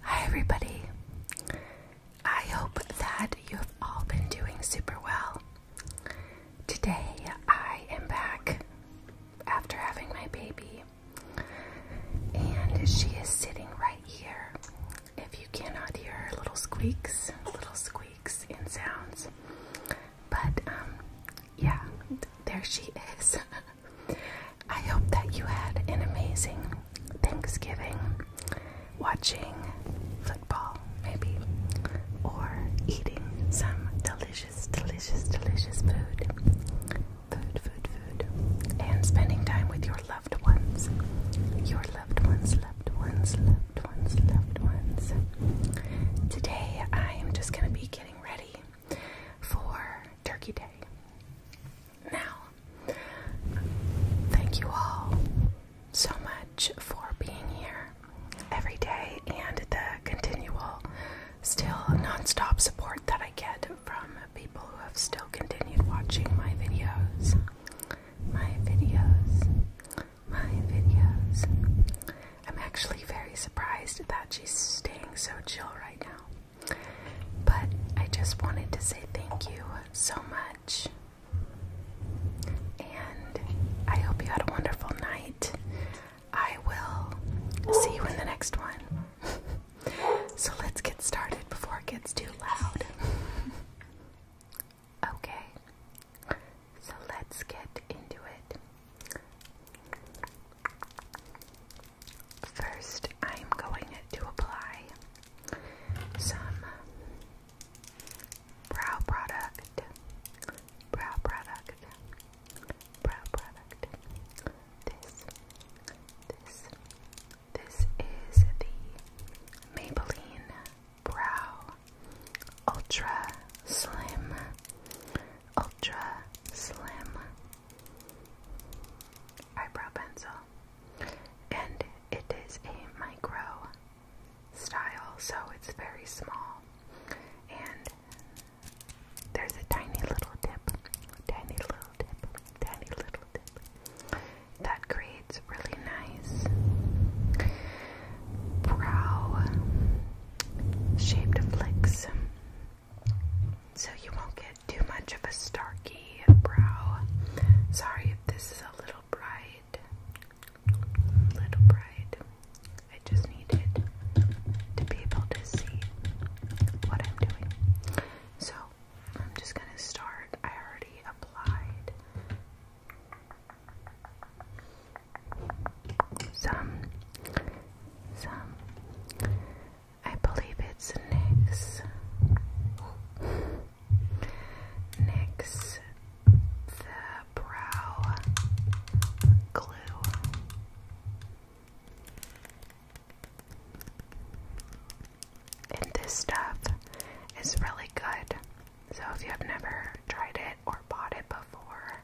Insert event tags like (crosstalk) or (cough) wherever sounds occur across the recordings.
Hi, everybody. I hope that you have all been doing super well. Today, I am back after having my baby, and she is sitting right here. If you cannot hear her little squeaks, little squeaks and sounds, but um, yeah, there she is. (laughs) I hope that you had an amazing Thanksgiving watching football, maybe, or eating some delicious, delicious, delicious food. Food, food, food. And spending time with your loved ones. Your loved ones, loved ones, loved ones, loved ones. Today I am just going to be getting ready for Turkey Day. Now, thank you all so much for being here every day and the continual, still non-stop support that I get from people who have still continued watching my videos. My videos. My videos. I'm actually very surprised that she's staying so chill right now. But I just wanted to say thank you so much. And I hope you had a wonderful night. I will see you in the next one. (laughs) so let's get started before it gets too loud. (laughs) okay, so let's get into it. First, I'm going to apply some brow product, brow product, brow product. This, this, this is the Maybelline Brow Ultra Slim, Ultra Slim eyebrow pencil, and it is a micro style, so it's very small, and there's a tiny little tip, tiny little tip, tiny little tip that creates really nice brow shaped flicks. So you won't get too much of a starky brow. Sorry if this is a little bright. Little bright. I just needed to be able to see what I'm doing. So I'm just gonna start. I already applied some some I believe it's Nick's. Nix the brow glue. And this stuff is really good. So if you have never tried it or bought it before,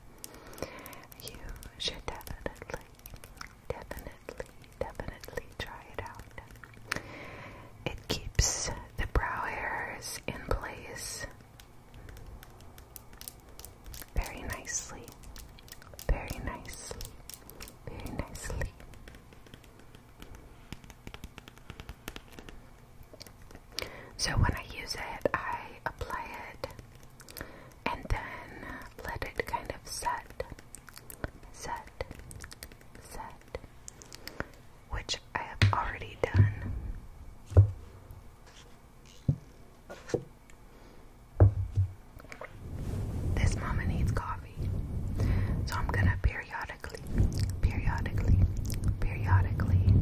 you should definitely Definitely, definitely try it out. It keeps the brow hairs in place very nicely, very nicely, very nicely. So when I use it, I apply it and then let it kind of set set, set, which I have already done. This mama needs coffee, so I'm gonna periodically, periodically, periodically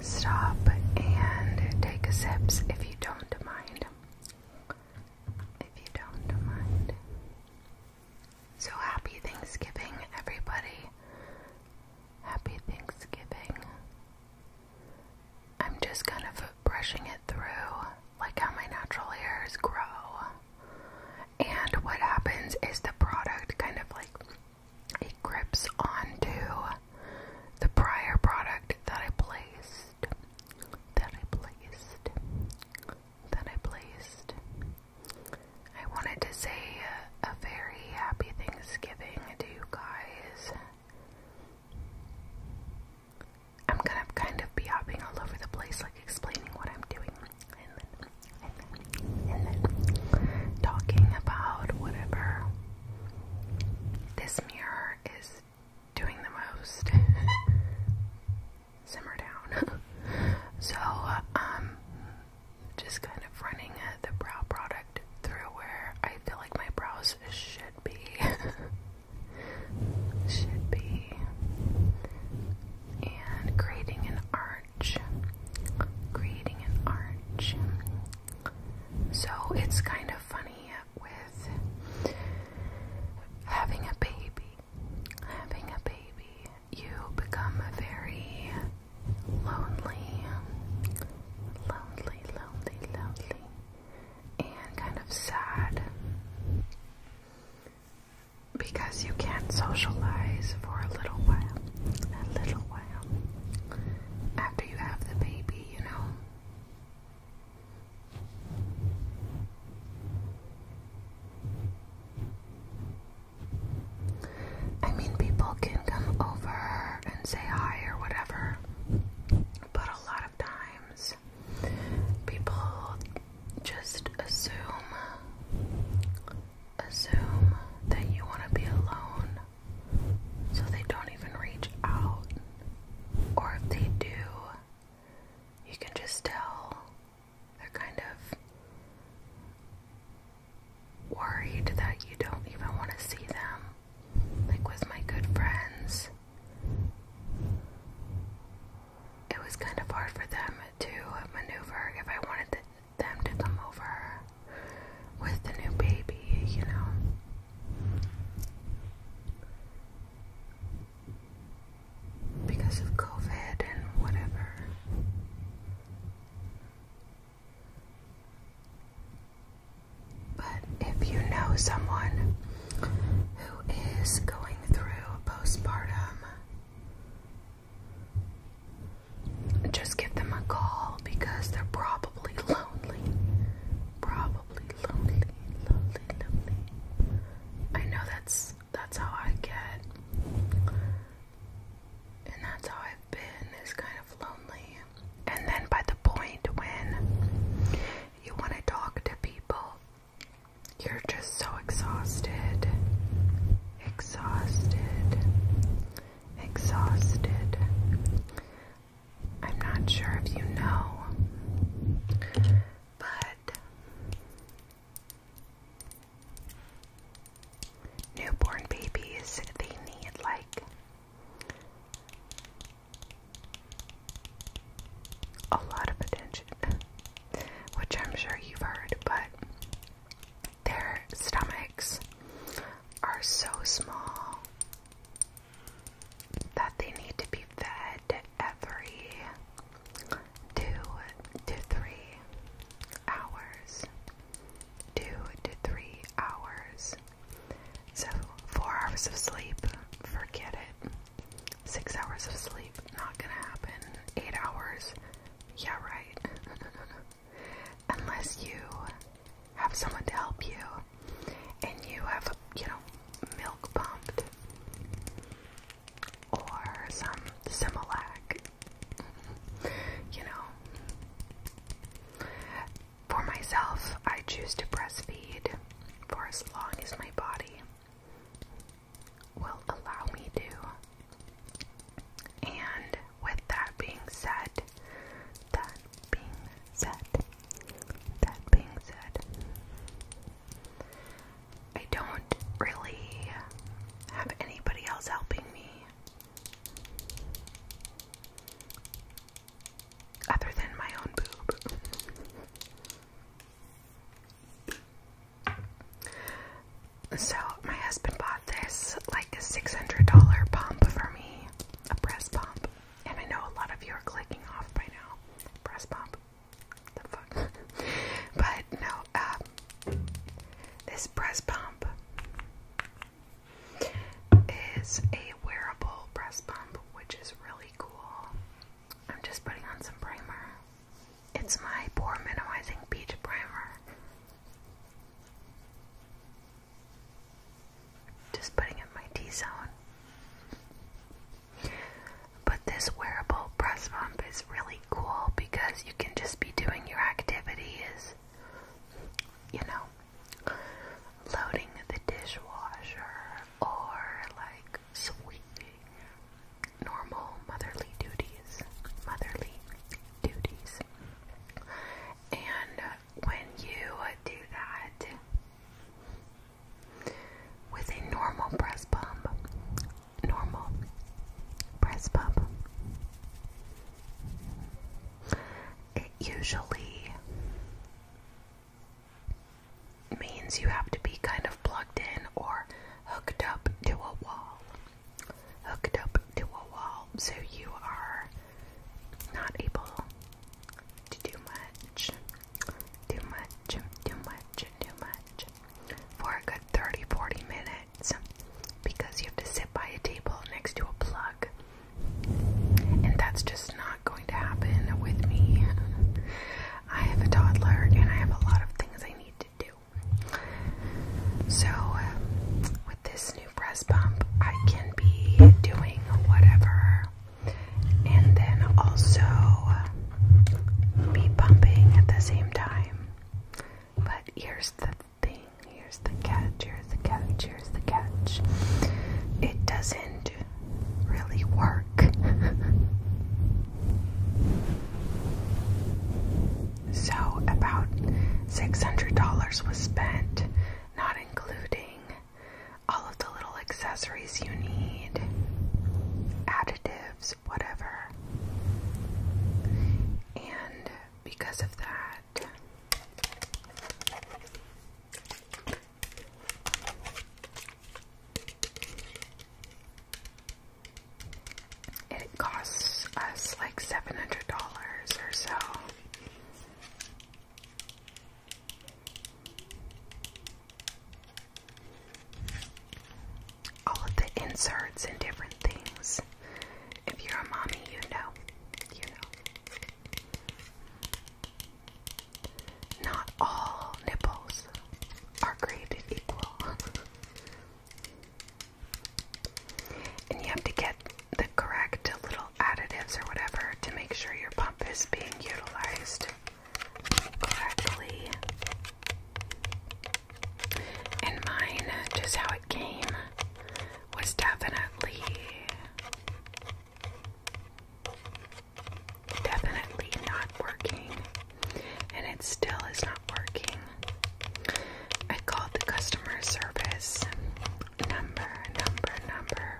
stop and take a sip, if you don't mind if you don't mind. So happy Thanksgiving, everybody. Happy Thanksgiving. I'm just kind of brushing it through, like how my natural hairs grow. And what happens is the product kind of like it grips onto the prior product that I placed that I placed, that I placed. I wanted to say a, a very happy Thanksgiving to you guys. I'm gonna kind of be hopping all over the place, like explaining what I'm doing, and then, and then, and then talking about whatever. This mirror is doing the most. Simmer down. (laughs) so, uh, um, just kind of running uh, the brow product through where I feel like my brows should be. (laughs) should be. And creating an arch. Creating an arch. So it's kind of funny with having a baby. Having a baby, you become very lonely, lonely, lonely, lonely, and kind of sad because you can't socialize for a little while. A little while after you have the baby, you know. I mean, people can come over and say hi or whatever, but a lot of times people just assume assume that you want to be alone so they don't even reach out or if they do you can just tell they're kind of worried that you don't even want to see them. Like with my good friends, it was kind of hard for them to maneuver if I wanted them to come over with the new baby, you know because of COVID and whatever. But if you know someone who is going through postpartum, just give them a call because they're probably lonely probably lonely, lonely, lonely. I know that's that's how I get, and that's how I've been is kind of lonely. And then by the point when you want to talk to people, you're just so exhausted, exhausted, exhausted. I'm not sure if you know, but newborn babies, they need like a lot of attention, which I'm sure you've heard, but their stomachs are so small that they need to be fed every two to three hours. Two to three hours. So, four hours of sleep, forget it. Six hours of sleep, not gonna happen. Eight hours, yeah, right. (laughs) Unless you have someone to help you and you have, you know, milk pumped or some Similac, you know. For myself, I choose to breastfeed for as long as my body will allow me to. And with that being said, that being said, that being said, I don't really have anybody else helping me other than my own boob. So, my husband bought this like a $600 pump for me, a breast pump. And I know a lot of you are clicking off by now. Breast pump. The fuck? (laughs) but no, um, this breast pump is a wearable breast pump, which is really cool. I'm just putting on some primer. It's my pore minimizing peach primer. Just putting in my T zone. But this wearable breast pump is really cool because you can just be doing your activities, you know, loading the dishwasher or like sweeping normal motherly duties. Motherly duties. And uh, when you do that with a normal press pump, normal press pump, it usually means you have to be kind of plugged in or hooked up to a wall. Hooked up to a wall, so you are not able to do much. Too much, too much, too much. For a good 30 40 minutes because you have to sit by a table next to a plug. And that's just not going to happen with me. I have a toddler and I have a lot of things I need to do. So, um, with this new breast pump, I can be doing whatever and then also be pumping at the same time. But here's the thing, here's the catch, here's the catch, here's the catch. It doesn't really work. (laughs) so, about $600 was spent, not including all of the little accessories you need, additives, whatever. And because of that, it costs us like $700 or so. All of the inserts and different things. If you're a mommy, you know. You know. Not all nipples are created equal. (laughs) and you have to get the correct little additives or whatever to make sure your pump is being utilized correctly. And mine, just how it came, was definitely, definitely not working. And it still is not working. I called the customer service number, number, number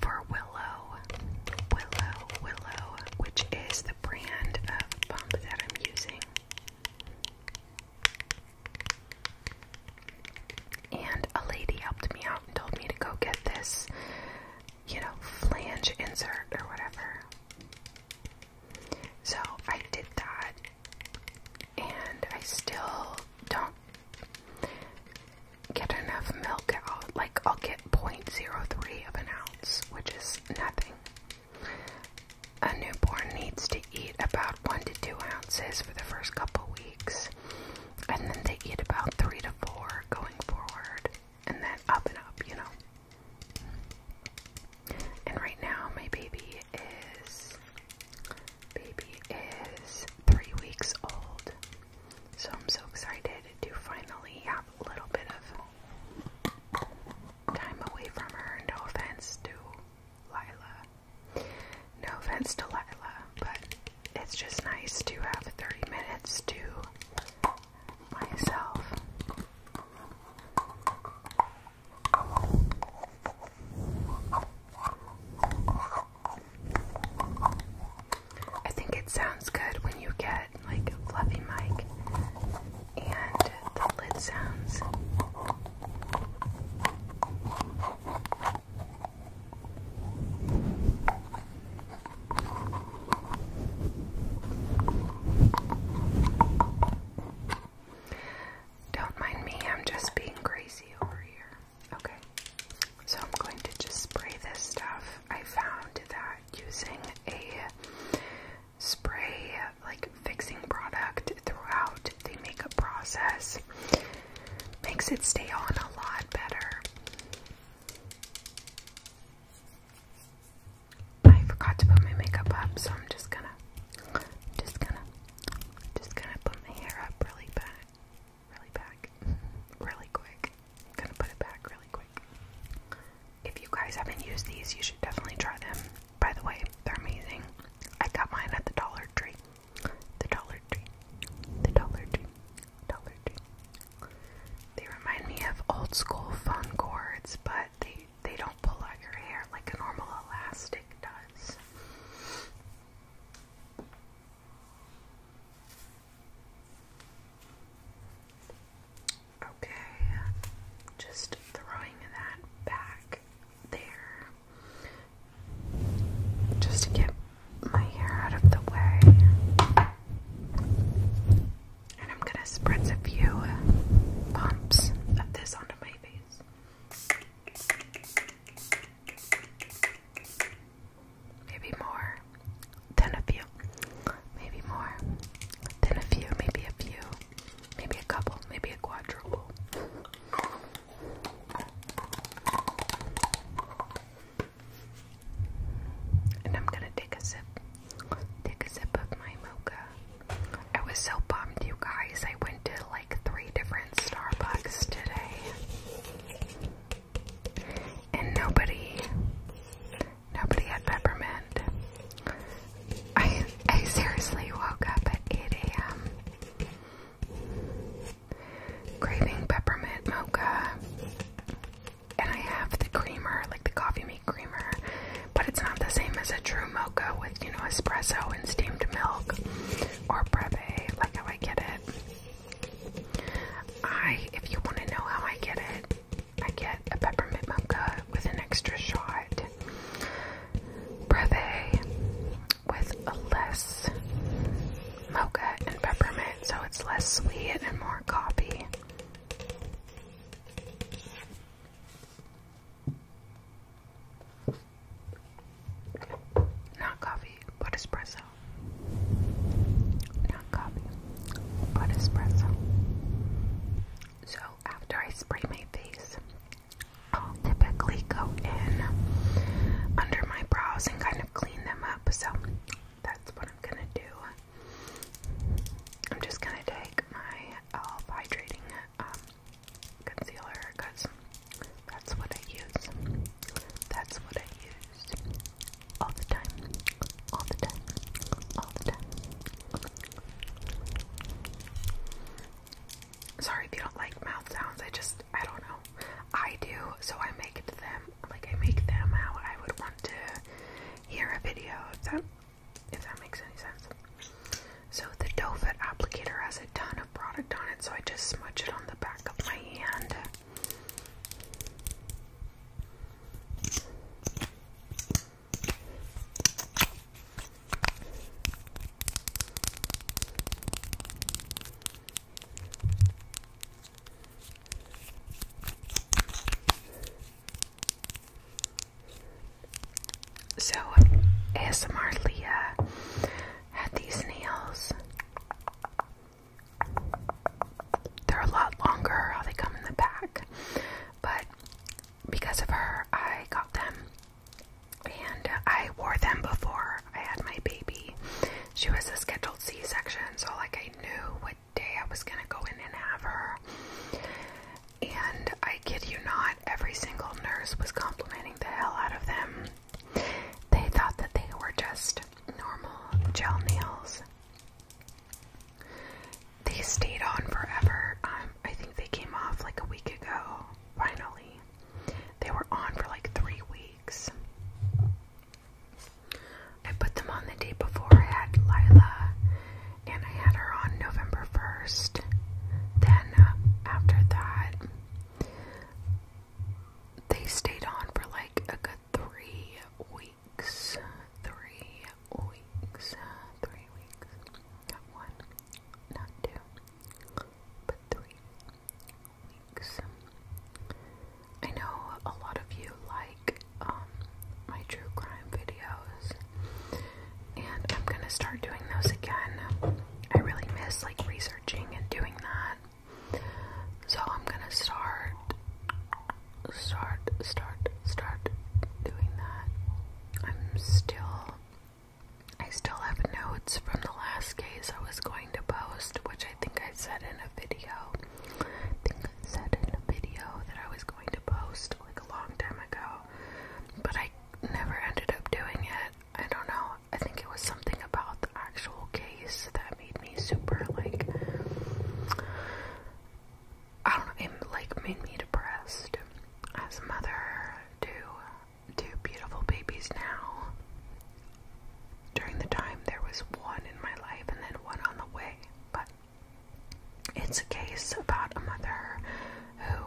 for Willow, Willow, Willow, which is the brand of pump that I'm using. And a lady helped me out and told me to go get this, you know, flange insert or whatever. So I did that and I still don't get enough milk out. Like, I'll get 0.03 of an ounce, which is nothing. A newborn needs to eat about 1 to 2 ounces for the first couple weeks, and then they eat about 3 to 4 going forward, and then up and up, you know. And right now, my baby is Baby is three weeks old. So I'm so excited to finally have a little bit of time away from her. No offense to Lila. No offense to Lila, but it's just nice to have 30 minutes to myself. I think it sounds good when you get like a fluffy mic and the lid sounds. Don't mind me, I'm just being crazy over here. Okay, so I'm going to just spray this stuff. I found that using a spray, like fixing product throughout the makeup process, makes it stay on a lot better. I forgot to put my makeup up, so I'm just gonna, just gonna, just gonna put my hair up really bad really back, really quick. I'm gonna put it back really quick. If you guys haven't used these, you should definitely try them. By the way, they're amazing. I got mine at the Dollar Tree. The Dollar Tree. The Dollar Tree. Dollar Tree. They remind me of old school fun cords, but they they don't pull out your hair like a normal elastic does. Okay, just throwing that back there just to get my hair out of the way. And I'm going to spread a few bumps of this onto my face. Maybe more than a few. Maybe more than a few. Maybe a few. Maybe a couple. Maybe a quadruple. And I'm gonna take a sip. Take a sip of my mocha. I was so bummed, you guys. I went to like three different were Starbucks today, and nobody, nobody had peppermint. I, I seriously woke up at 8 a.m. craving peppermint mocha, and I have the creamer, like the coffee meat creamer, but it's not the same as a true mocha with, you know, espresso and steamed milk or brevet, like how I get it. I, if you want to know how I get it, I get a peppermint mocha with an extra shot, brevet with less mocha and peppermint, so it's less sweet and more coffee. Not coffee, but espresso. Not coffee, but espresso. So after I spray my face, I'll typically go in under my brows and kind of clean them up. So that's what I'm gonna do. I'm just gonna take my e.l.f. hydrating um, concealer because that's what I use. That's what I use all the time, all the time, all the time. Sorry if you don't like mouth sounds. I just I don't know. I do, so I make them like I make them how I would want to hear a video. If that if that makes any sense. So the doe applicator has a ton of product on it, so I just smudge it on the back of my hand. So ASMR Leah had these nails. They're a lot longer how they come in the back. But because of her, I got them. And I wore them before I had my baby. She was a scheduled C section, so like I knew what day I was gonna go in and have her. And I kid you not, every single nurse was complimenting the hell out of them. They thought that they were just normal gel nails. They stayed on forever. Um, I think they came off like a week ago, finally. They were on for like three weeks. I put them on the day before I had Lila, and I had her on November 1st. Then, uh, after that, they stayed on for like a good three weeks. Three weeks. Three weeks. Not one, not two, but three weeks. I know a lot of you like um, my true crime videos, and I'm gonna start doing those again. I really miss like researching and doing that. So I'm gonna start start start start doing that. I'm still I still have notes from the last case I was going to post, which I think I said in a video. I think I said in a video that I was going to post like a long time ago, but I never ended up doing it. I don't know. I think it was something about the actual case that made me super like I don't know, it like made me depressed as a mother to two beautiful babies now. During the time there was one in my life and then one on the way, but it's a case about a mother who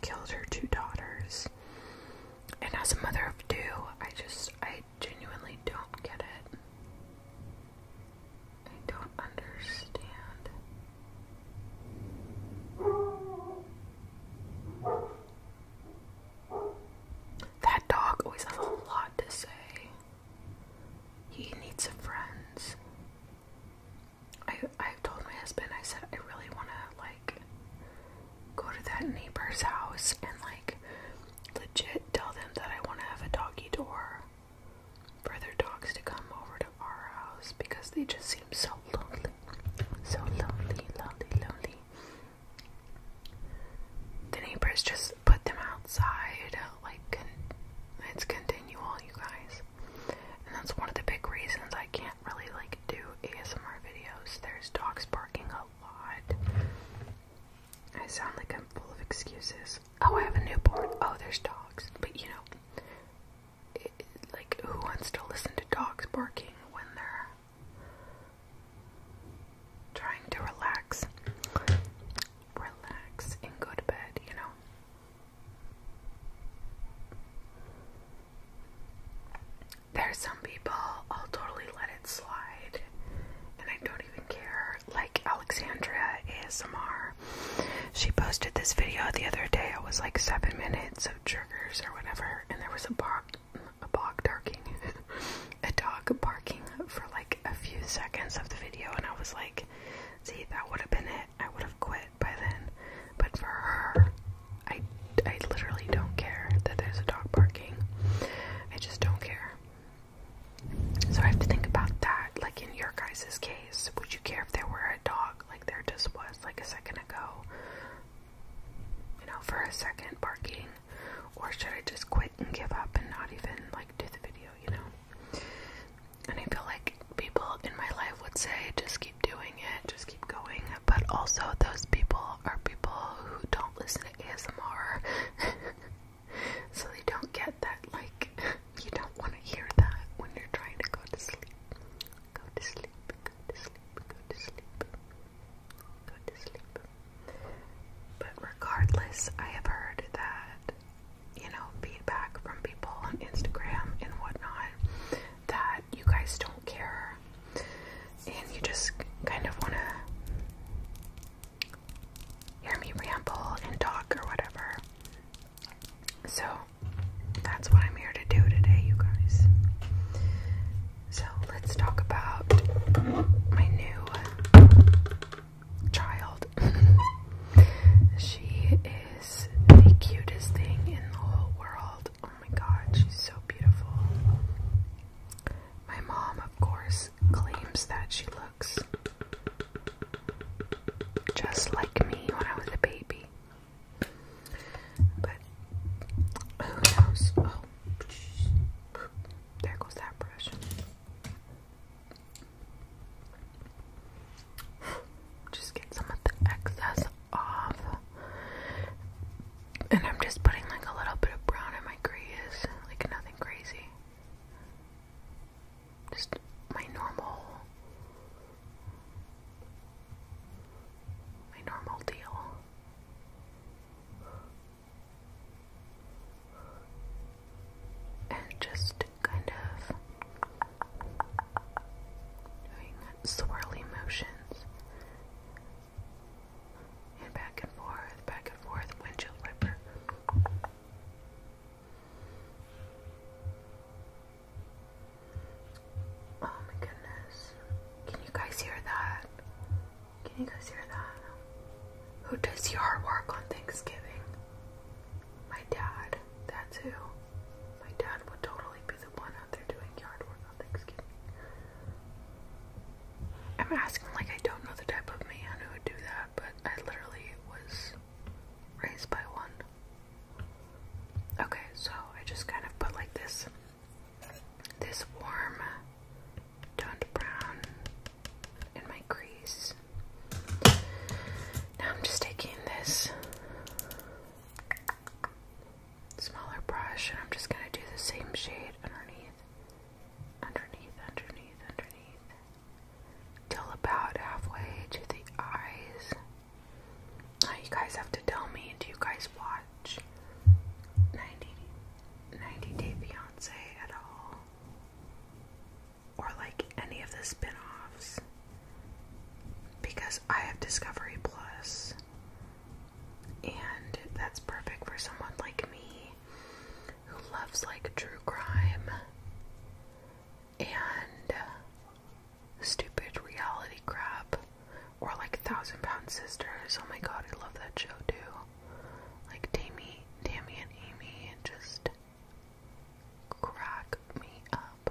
killed her two daughters. And as a mother of two, I just, I genuinely don't get it. I don't understand. That dog always has a lot to say. He needs some friends. I I told my husband I said I really want to like go to that neighbor's house and like legit tell them that I want to have a doggy door for their dogs to come over to our house because they just seem so lonely, so lonely, lonely, lonely. The neighbors just put them outside, like let's continue, all you guys that's one of the big reasons I can't really like do ASMR videos. There's dogs barking a lot. I sound like I'm full of excuses. Oh, I have a newborn. Oh, there's dogs. But you know, like who wants to listen to dogs barking when they're trying to relax? Relax and go to bed, you know? There's some people I'll totally let it slide and I don't even care. Like Alexandria ASMR. She posted this video the other day. It was like seven minutes of triggers or whatever, and there was a bark a bog barking (laughs) a dog barking for like a few seconds of the video and I was like, see that would have been it. I would have quit by then, but for her, I, I literally don't care that there's a dog barking. I just don't care. So I have to think about that. Like in your guys' case, would you care if there were a dog like there just was like a second ago? You know, for a second barking? Or should I just quit and give up and not even like do the video, you know? And I feel like people in my life would say, just keep doing it, just keep going. But also, those people are people who don't listen to ASMR, (laughs) so they don't get that. Like, you don't want to hear that when you're trying to go to sleep. Go to sleep. Go to sleep. Go to sleep. Go to sleep. But regardless, I have heard that you know feedback from people on Instagram and whatnot that you guys don't care and you just kind of want to hear me ramble and talk or whatever. So that's what I'm here to do today, you guys. So let's talk about my new child. (laughs) she is the cutest thing in the whole world. Oh my god, she's so beautiful. My mom, of course, claims that she looks just like me when I was a baby. But who knows? Oh, there goes that brush just get some of the excess off. And I'm just putting like a little bit of brown in my crease, like nothing crazy. Just my normal, my normal deal. And just kind of doing swirly motions. And back and forth, back and forth, windshield wiper. Oh my goodness. Can you guys hear that? Can you guys hear that? Who does yard work on Thanksgiving? My dad. That's who. My dad would totally be the one out there doing yard work on Thanksgiving. I'm asking like I don't know the type of man who would do that, but I literally was raised by one. Okay, so I just kind of put like this this warm toned brown in my crease. Now I'm just taking this smaller brush, and I'm just going to do the same shade underneath, underneath, underneath, underneath, till about halfway to the eyes. Now you guys have to tell me, do you guys watch 90, 90 Day Fiance at all? Or like any of the spin because I have Discovery Plus, and that's perfect for someone like me who loves like true crime and stupid reality crap or like Thousand Pound Sisters. Oh my god, I love that show too. Like Tammy, Tammy and Amy, and just crack me up.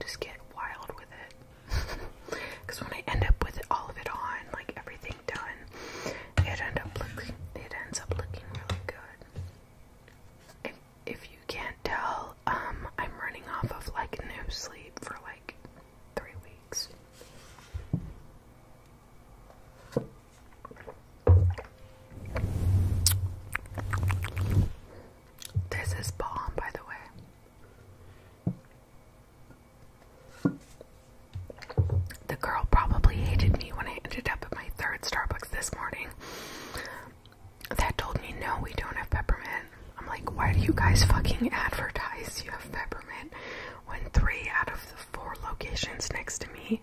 just get wild with it. Because (laughs) when I end up with all of it on, like everything done, it ends up looking really good. If, you can't tell, um, I'm running off of like no sleep for like three weeks. This is bomb, by the way. The girl probably hated me when I ended up at my third Starbucks this morning. That told me, no, we don't have peppermint. I'm like, why do you guys fucking advertise you have peppermint when three out of the four locations next to me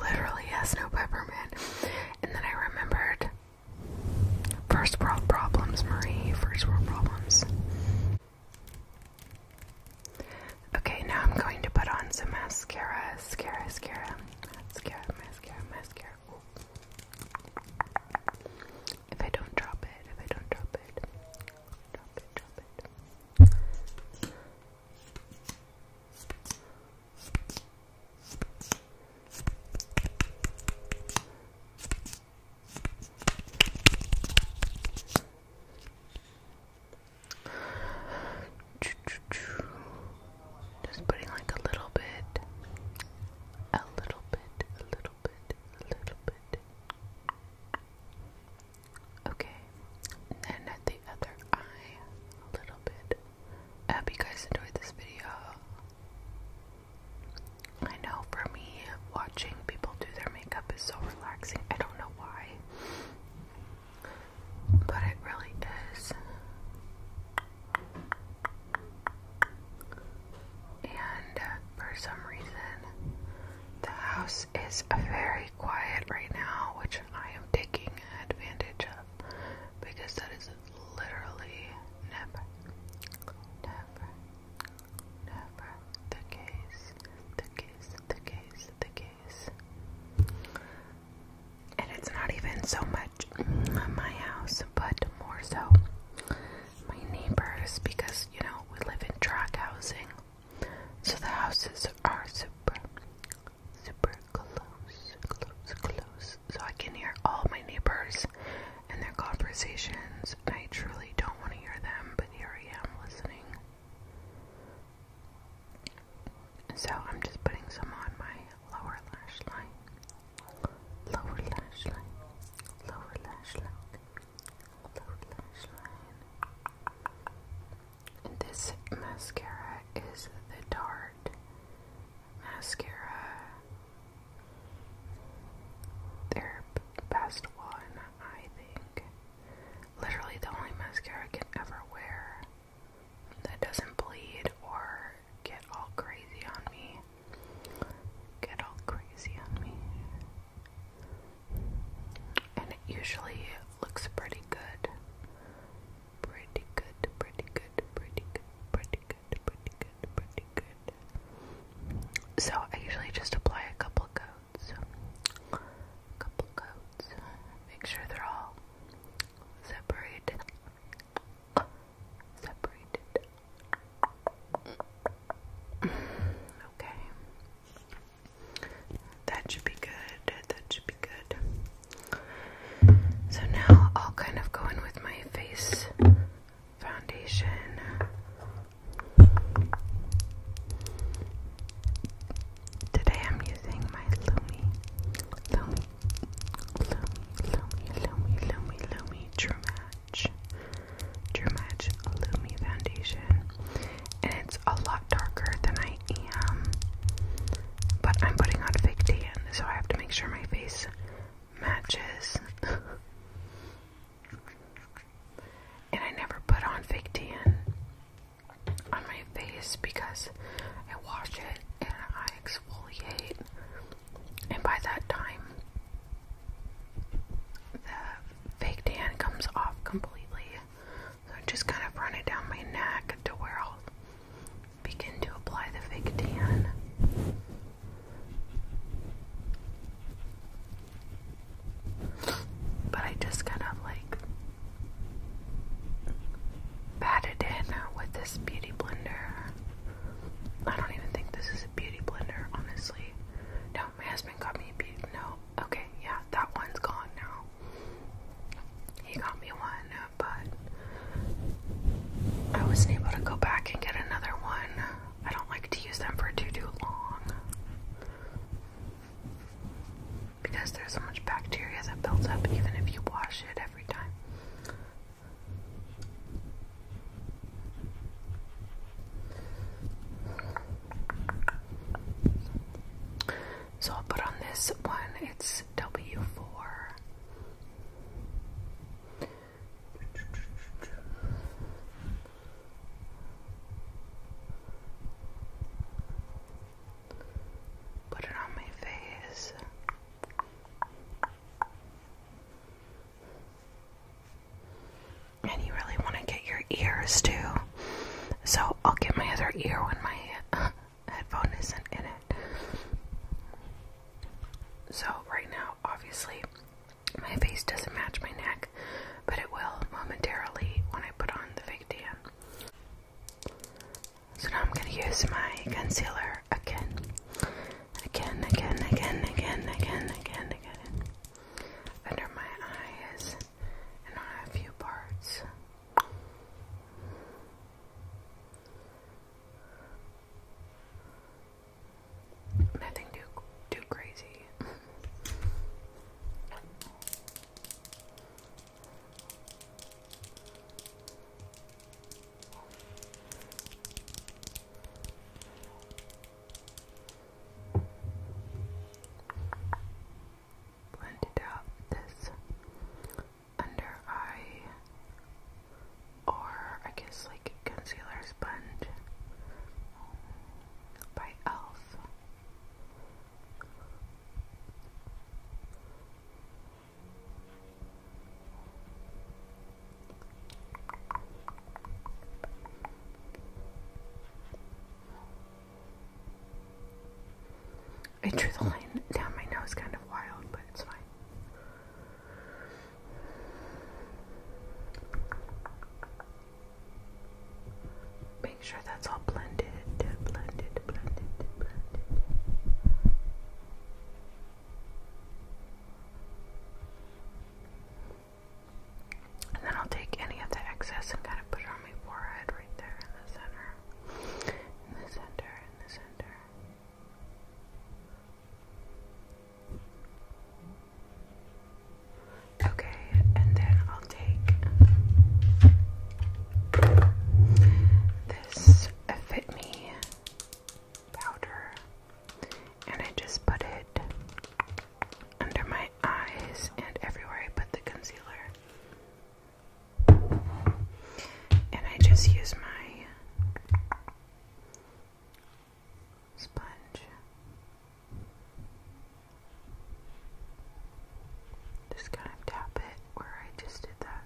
literally yes. no peppermint. And then I remembered first world problems, Marie. First world problems. Okay, now I'm going to put on some mascara. Mascara, mascara, mascara, mascara, mascara. If I don't drop it, if I don't drop it, drop it, drop it. Just putting like a little bit, a little bit, a little bit, a little bit. Okay, then at the other eye, a little bit. I hope you guys enjoyed this video. I know for me, watching people do their makeup is so relaxing. I don't know why, but it really is. And for some reason, the house is very quiet right now, which I am taking advantage of because that is literally never, never, never the case, the case, the case, the case. And it's not even so much my house, but more so my neighbors because you know we live in tract housing, so the houses are super, close, close, close. So I can hear all my neighbors and their conversations. And I truly don't want to hear them, but here I am listening. So I'm just putting some on my lower lash line. Lower lash line. Lower lash line. Lower lash line. This mascara is the Tarte mascara. Their best one, I think. Literally the only mascara I can ever wear that doesn't bleed or get all crazy on me. Get all crazy on me. And it usually looks pretty good pretty good, pretty good, pretty good, pretty good, pretty good, pretty good. So I usually just apply a couple coats, couple coats, make sure they're all separated, separated. Okay. That should be good. That should be good. So now I'll kind of go in with my face foundation. Today I'm using my Lumi, Lumi, Lumi, Lumi, Lumi, Lumi, Lumi True Match, True Match Lumi Foundation, and it's a lot darker than I um, but I'm putting on fake tan, so I have to make sure my face matches. (laughs) and I never put on fake tan on my face because I wash it and I exfoliate, and by that time, the fake tan comes off completely. I'm just kind of run it down my neck to where I'll begin to apply the fake tan. But I just kind of like pat it in with this beauty blender. I don't even think this is a beauty blender, honestly. No, my husband got me a beauty. No, okay, yeah, that one's gone now. He got me one, but I wasn't able to go back and get another one. I don't like to use them for too too long because there's so much bacteria that builds up even if you wash it every time. So I'll put on this one, it's W4. Put it on my face. And you really want to get your ears too. So I'll get my other ear when my (laughs) headphone isn't in it. So, right now, obviously, my face doesn't match my neck, but it will momentarily when I put on the fake tan. So, now I'm going to use my concealer again. Again, again, again, again, again, again, again. Under my eyes and a few parts. Nothing too too crazy. Blended out this under eye or I guess like concealer sponge by e.l.f. I drew the line down my nose kind of wild, but it's fine. Make sure that's all blended, blended, blended, blended. And then I'll take any of the excess and kind of put it on my forehead right there in the center in the center, in the center. Okay, and then I'll take this Fit Me powder and I just put it under my eyes and everywhere I put the concealer. And I just use my sponge. Just kind of tap it where I just did that.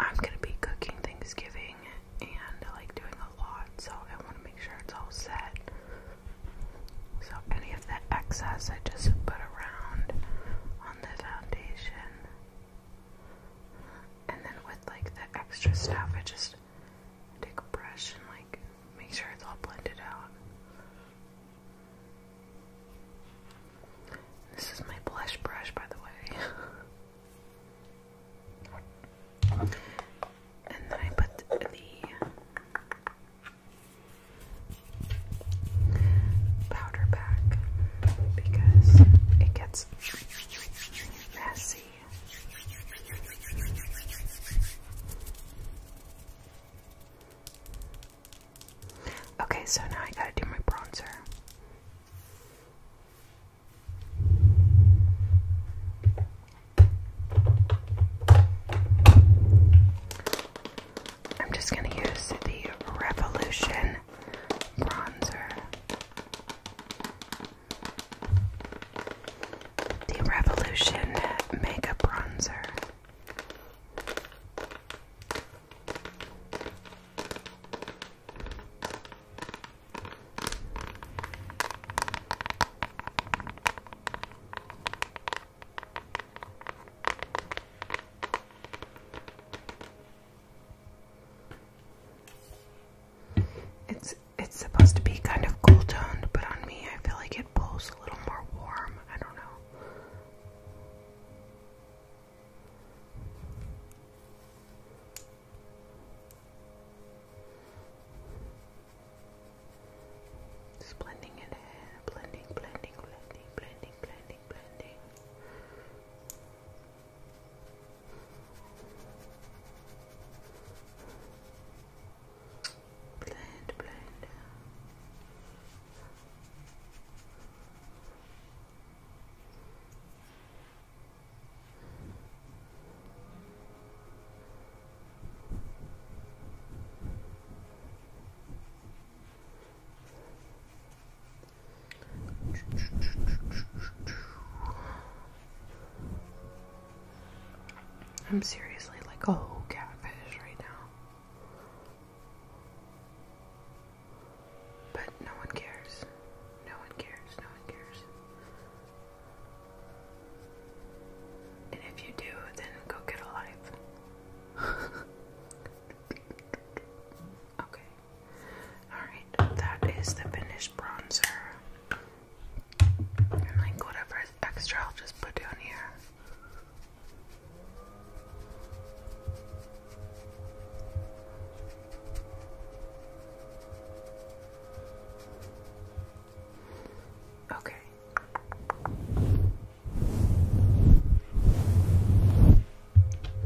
I'm gonna be cooking Thanksgiving and like doing a lot, so I want to make sure it's all set. So any of the excess I just put around on the foundation. And then with like the extra stuff I just take a brush and like make sure it's all blended out. This is my blush brush by the way. (laughs) and then I put the powder back because it gets messy. Okay, so now I gotta do my bronzer. I'm just going to use the Revolution bronzer. The Revolution Makeup Bronzer. It's it's supposed to be kind of cool toned, but on me I feel like it blows a little more warm. I don't know blending it in, blending, blending, blending, blending, blending, blending. blend. Blend, I'm seriously like a whole catfish right now. But no one cares. No one cares. No one cares. And if you do, then go get a life. okay. Alright, that is the finished bronzer. like whatever extra, I'll just put down here. Okay,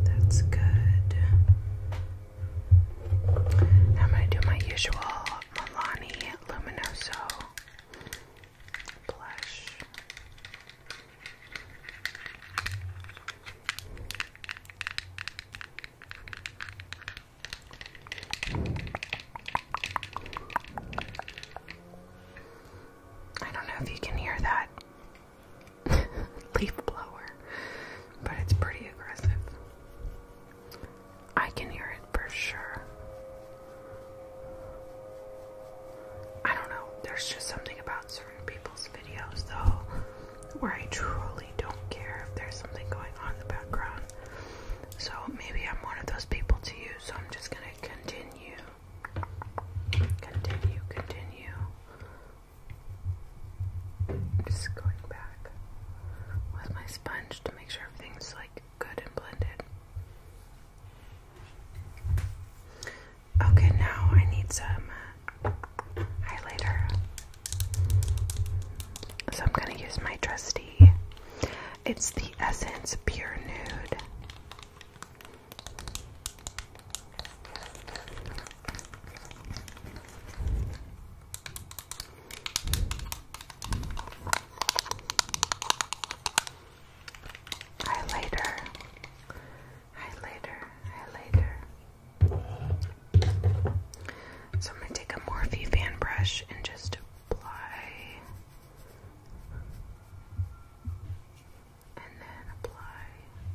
that's good. I'm going to do my usual Milani Luminoso blush. I don't know if you can hear that (laughs) leaf blower, but it's pretty aggressive. I can hear it for sure. I don't know, there's just something about certain people's videos though where I truly don't care if there's something going on in the background. So maybe I'm one of those people to you so I'm just going to continue, continue, continue. I'm just going back with my sponge to make sure everything's like good and blended. Okay, now I need some highlighter. So I'm going to use my trusty it's the Essence Pure Nude. Highlighter, highlighter, highlighter. So I'm going to take a Morphe fan brush and just apply and then apply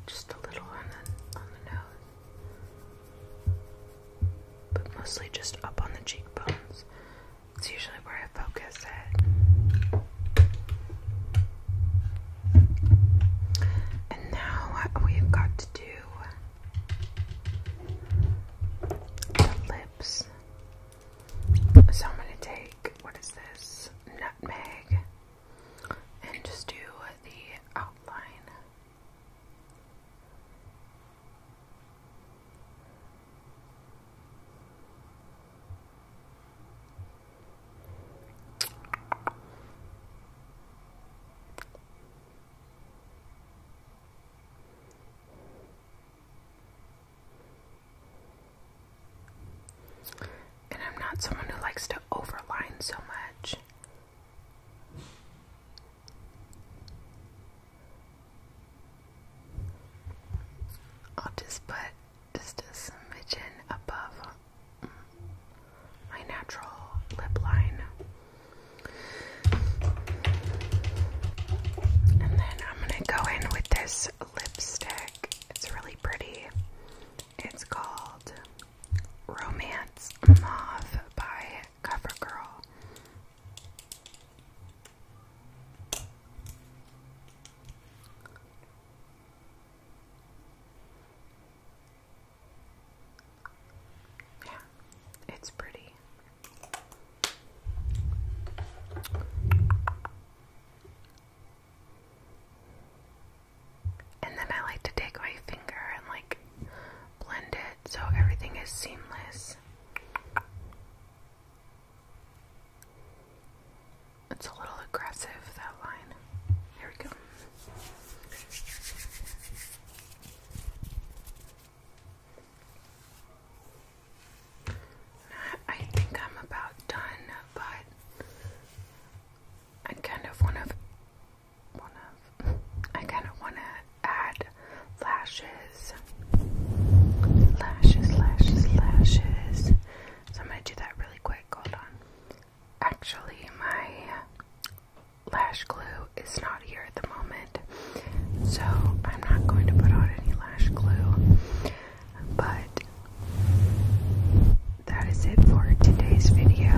just a little on the on the nose. But mostly just up on the cheekbones. It's usually where I focus it. And now we've got to do lips. So I'm going to take, what is this, nutmeg, and just do the outline. And I'm not someone who likes to overline so much. I'll just put just a smidgen above my natural lip line. And then I'm going to go in with this lipstick. It's really pretty. It's called Romance Mauve by CoverGirl. Yeah, it's pretty. And then I like to take my finger and like blend it so everything is seamless. It's a little aggressive, that line. Here we go. I think I'm about done, but I kind of want to, want to, I kind of want to add lashes, lashes, lashes, lashes. So I'm gonna do that really quick. Hold on. Actually, my lash glue is not here at the moment. So I'm not going to put on any lash glue. But that is it for today's video.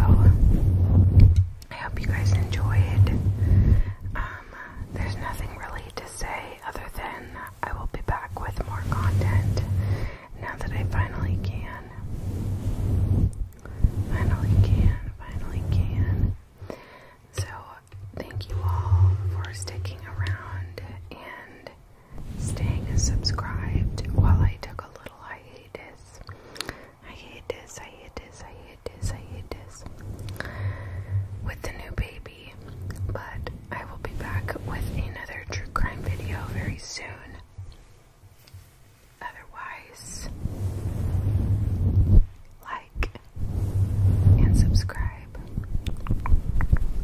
I hope you guys enjoyed. Um, there's nothing really to say other than I will be back with more content now that I finally can. Finally can, finally can. So, thank you all for sticking around and staying subscribed while I took a little hiatus. I I I this. this. this. I hiatus, this With the new baby. But I will be back with another true crime video very soon. Otherwise, life and subscribe.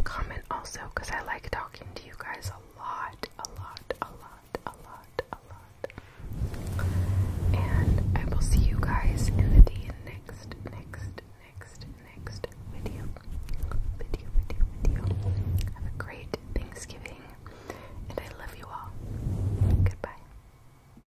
Comment also because I like talking to you guys a lot, a lot, a lot, a lot, a lot. And I will see you guys in the next, next, next, next video. Video, video, video. Have a great Thanksgiving. And I love you all. Goodbye.